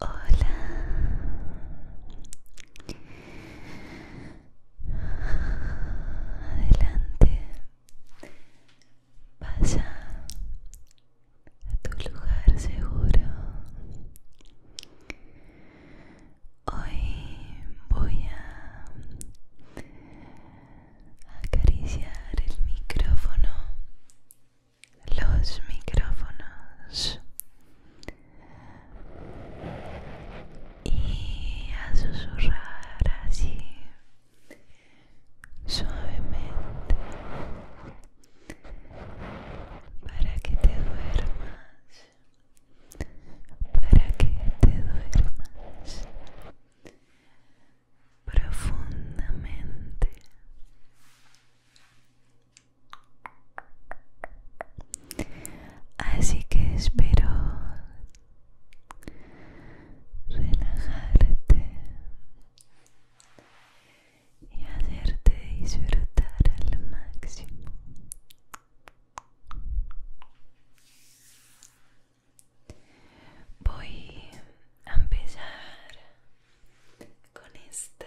Hola. Adelante. Vaya a tu lugar seguro. Hoy voy a acariciar el micrófono los micrófonos y a susurrar así suavemente para que te duermas para que te duermas profundamente Así que espero relajarte y hacerte disfrutar al máximo. Voy a empezar con esta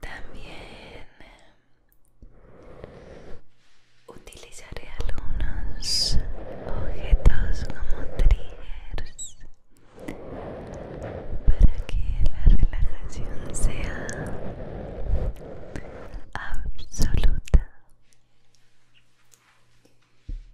También eh, utilizaré algunos objetos como triggers para que la relajación sea absoluta.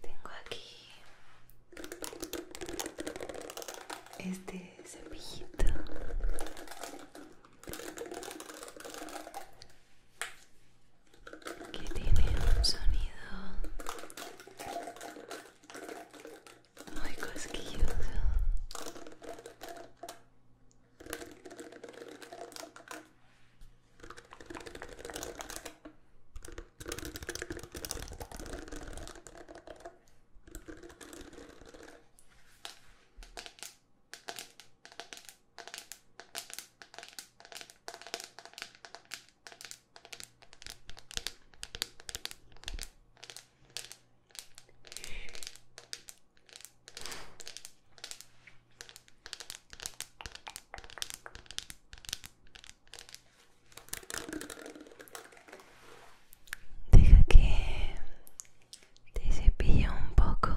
Tengo aquí este cepillito que tiene un sonido muy cosquilloso. Deja que te cepille un poco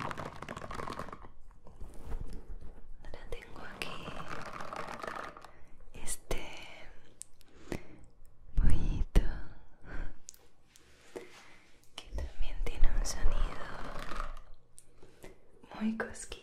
Ahora tengo aquí este pollito que también tiene un sonido muy cosquilloso.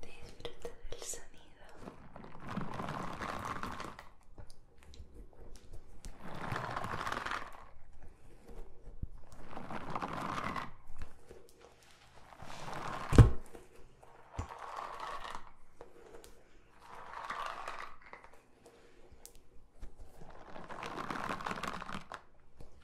Disfruta del sonido.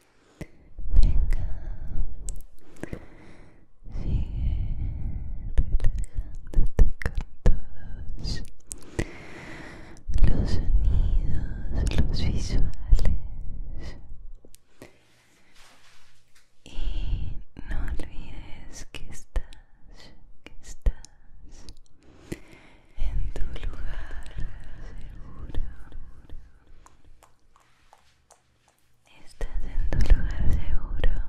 Venga, sigue relajándote con todos los sonidos, los visuales. Y no olvides que estás, que estás en tu lugar seguro. Estás en tu lugar seguro.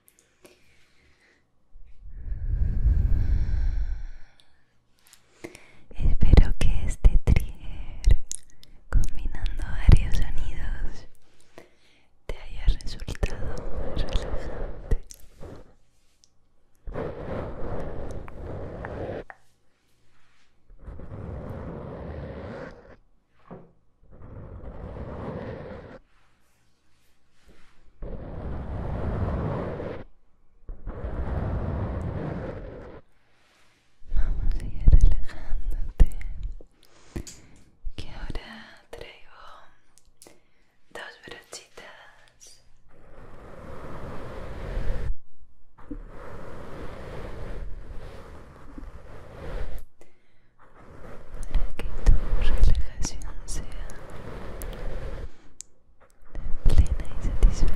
Espero que este trigger, combinando varios sonidos, te haya resultado muy relajante. Vamos a ir relajándote. Que ahora traigo dos brochitas para que tu relajación sea plena y satisfactoria.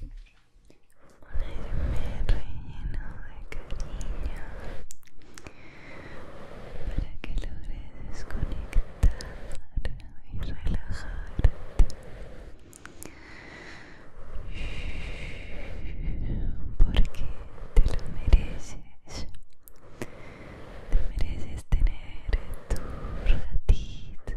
Un aire relleno de cariño para que logres desconectar y relajarte. Porque te lo mereces. Te mereces tener tu ratito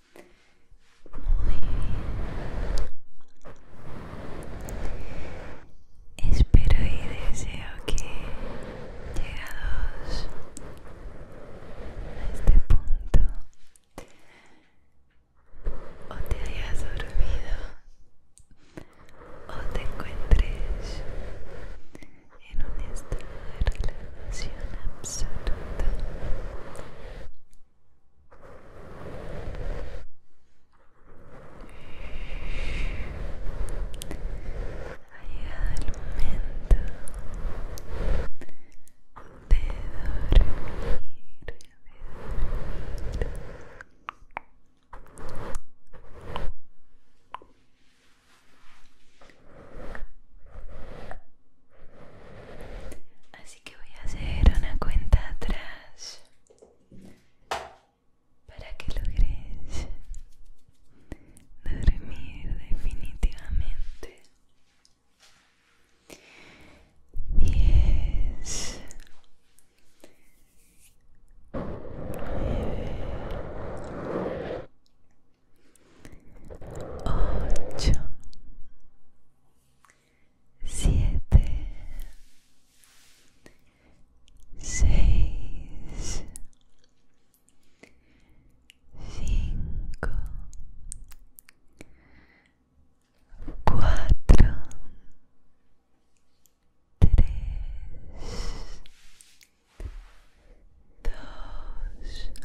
Espero y deseo que llegados a este punto o te hayas dormido o te encuentres en un estado de relajación absoluta ha llegado el momento de dormir, de dormir. Así que voy a hacer una cuenta atrás para que logres dormir definitivamente. Diez, ocho siete, seis, cinco, cuatro, tres, dos,